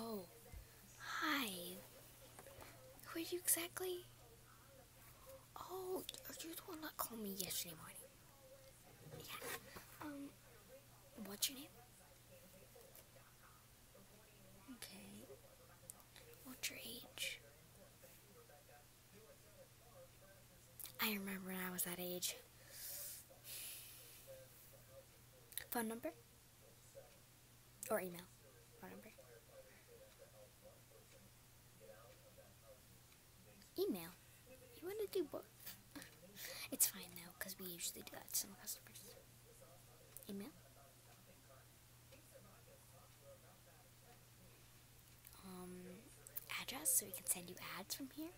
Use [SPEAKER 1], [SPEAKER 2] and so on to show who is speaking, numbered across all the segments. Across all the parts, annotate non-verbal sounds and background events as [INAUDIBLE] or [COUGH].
[SPEAKER 1] Oh, hi. Who are you exactly? Oh, are you the one that called me yesterday morning. Yeah. Um, what's your name? Okay. What's your age? I remember when I was that age. Phone number?
[SPEAKER 2] Or email? Phone number?
[SPEAKER 1] Email. You want to do both? It's fine though, because we usually do that to some customers. Email? Um, address so we can send you ads from here.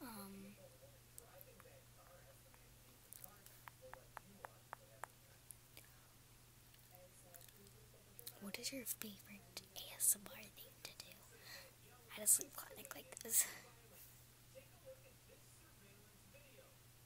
[SPEAKER 1] Um, what is your favorite ASMR thing to do I a sleep clinic like this? [LAUGHS]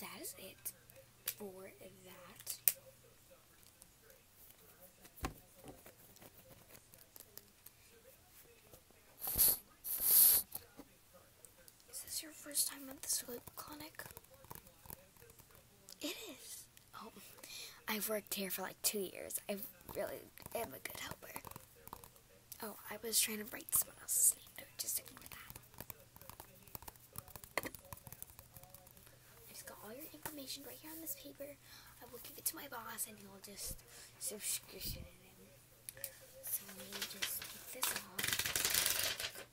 [SPEAKER 1] that is it for that. Is this your first time at the clinic? It is. Oh, I've worked here for like two years. I really am a good helper. Oh, I was trying to write someone else's name. No, just ignore that. I have got all your information right here on this paper. I will give it to my boss and he'll just subscription it in. So let me just take this off.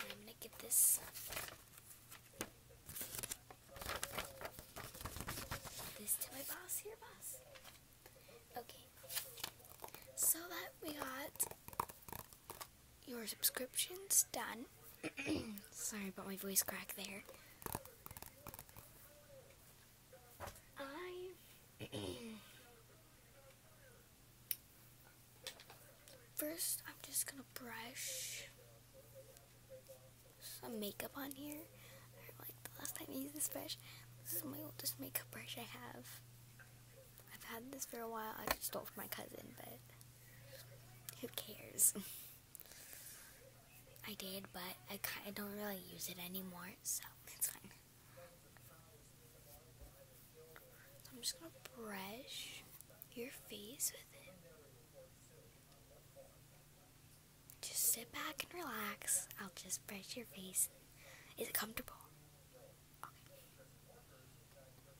[SPEAKER 1] I'm gonna get this this to my boss here, boss. Okay. So that we got your subscription's done. [CLEARS THROAT] Sorry about my voice crack there. I [CLEARS THROAT] first I'm just gonna brush some makeup on here. like the last time I used this brush. This is my oldest makeup brush I have. I've had this for a while. I just stole it from my cousin, but who cares? [LAUGHS] I did, but I, don't really use it anymore, so it's fine. I'm just gonna brush your face with it. Just sit back and relax. I'll just brush your face. Is it comfortable?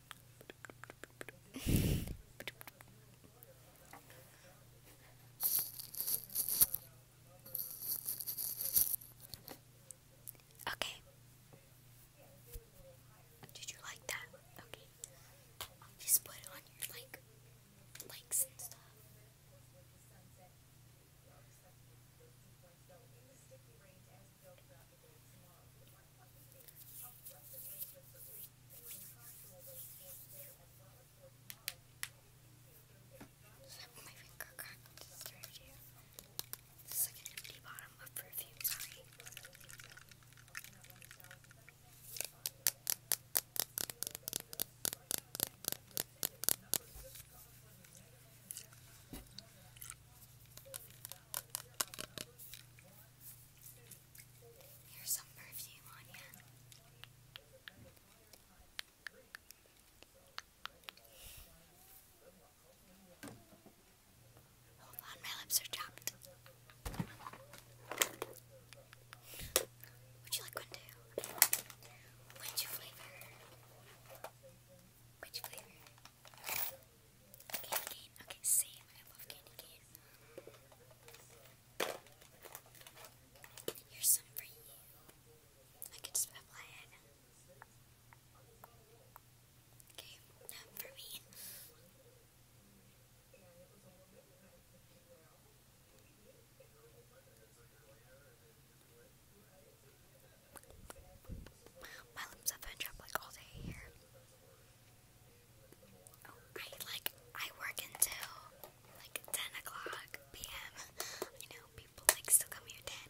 [SPEAKER 1] Okay. Did you like that? Okay. Just put it on your like likes and stuff. Slip my finger cracked and disturbed you. empty bottom of perfume, sorry. Here's some perfume on you. Hold on, my lips are chapped. Would you like one too? Which flavor? Which flavor? Candy cane. Okay, same. I love candy cane. Here's some for you. I can just apply it. Okay, now for me. My lips have been trapped like all day here. I like I work until like ten o'clock p.m. I know people like still come here ten.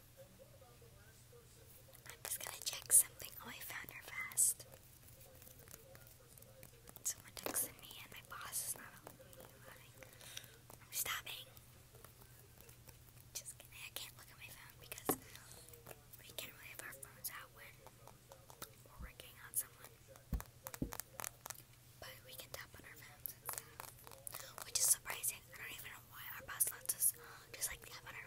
[SPEAKER 1] I'm just gonna check something. Oh, I found her fast. Someone texted me, and my boss is not allowing. I'm stopping. Just kidding. I can't look at my phone because we can't really have our phones out when we're working on someone. But we can tap on our phones which is surprising. I don't even know why our boss lets us just like tap on our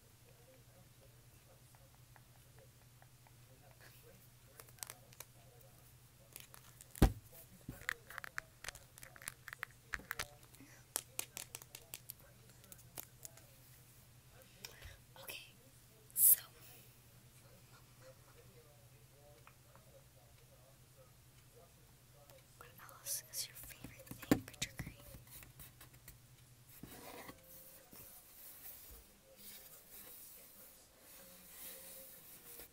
[SPEAKER 1] Okay, so what else is your favorite thing for trick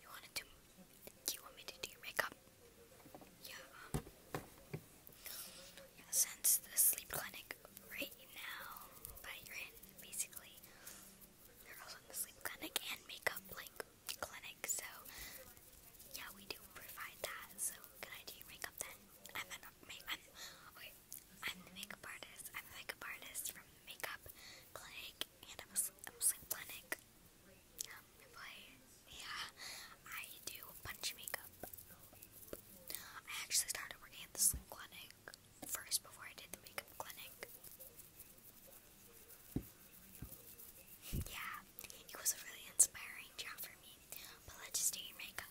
[SPEAKER 1] you want to do? Do you want me to do your makeup? Yeah. since the sleep clinic right now that you're basically, they're also in the sleep clinic and makeup like clinic. So yeah, we do provide that. So can I do your makeup then? make, I'm, okay, I'm the makeup artist. I'm the makeup artist from the makeup clinic, and I'm a, I'm a sleep clinic um, employee. Yeah, I do a bunch of makeup. I actually started working at the sleep clinic first before I did the makeup clinic. Yeah, it was a really inspiring job for me. But let's just do your makeup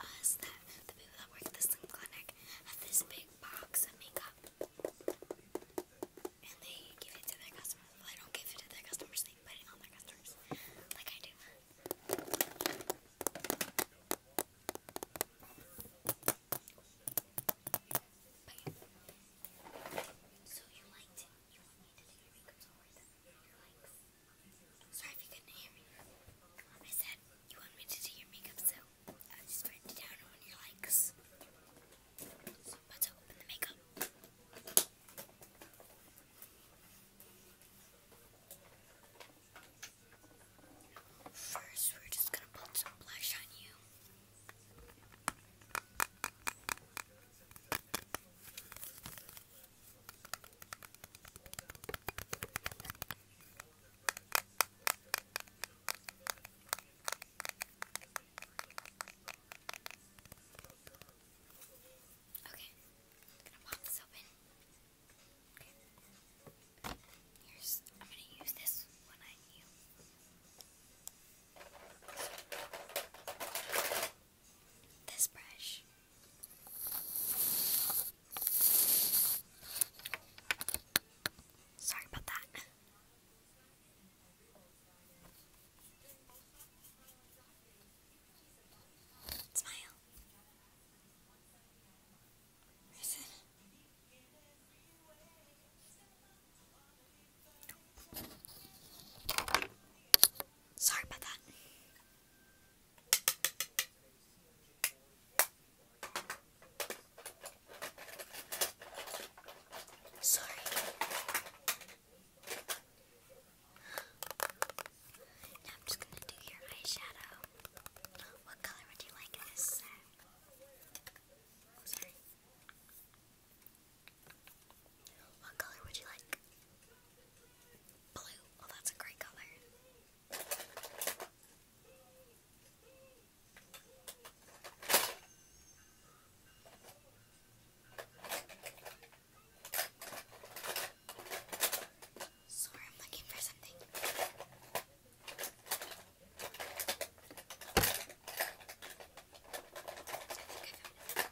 [SPEAKER 1] us that the people that work at the slim clinic have this big box of makeup, and they give it to their customers. Well, they don't give it to their customers; like I do. so you liked it? You want me to do your makeup Sorry if you couldn't hear me. I said you want me to do your makeup, so I just write it down on your likes. So let's open the makeup. First, we're just gonna put some blush on you. Okay, I'm gonna pop this open. Okay. Here's, I'm gonna use this one I knew this brush. Sorry about that. Smile. Where is it? Sorry about that. Sorry. I'm just gonna do your eyeshadow. What color would you like this what color would you like? Blue. Oh, that's a great color. Sorry, I'm looking for something.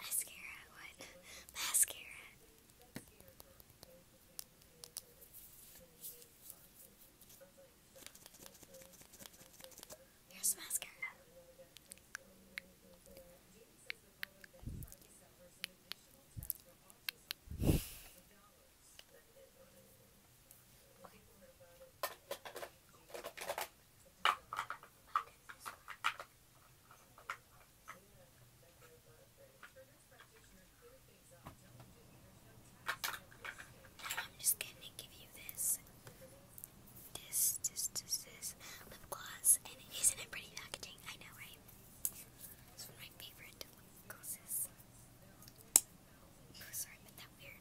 [SPEAKER 1] Mascara, what? Mascara. Here's mascara. I'm just gonna give you this, this, this, this, lip gloss, and isn't it pretty packaging? I know, right? It's one of my favorite lip glosses. Oh, sorry, but that weird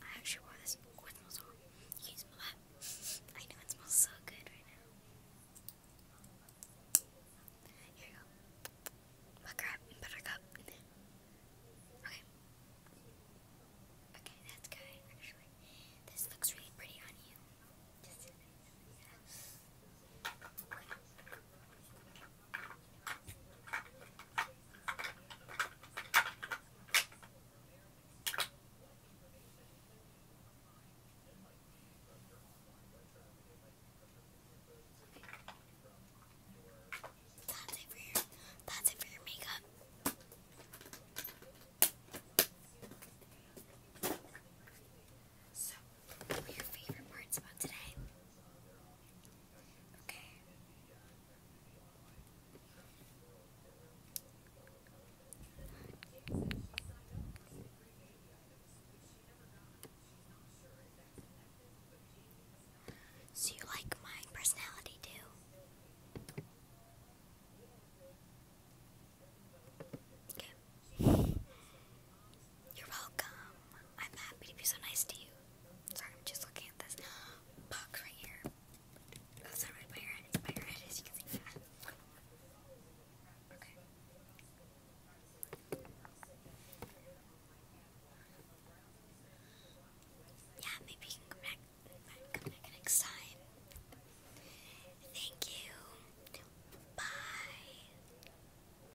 [SPEAKER 1] I actually wore this with my song. You can smell that. [LAUGHS] I know it smells so good right now. Here you go. Butter up, buttercup. Okay. Okay, that's good actually. This looks really pretty on you. That's it for your, that's it for your makeup. So what were your favorite parts about today? Okay. So you like my personality too? Okay. You're welcome. I'm happy to be so nice to you. Sorry, I'm just looking at this box right here. That's not right by It's by your Yeah, maybe you can come back, come back next time. Thank you. Bye.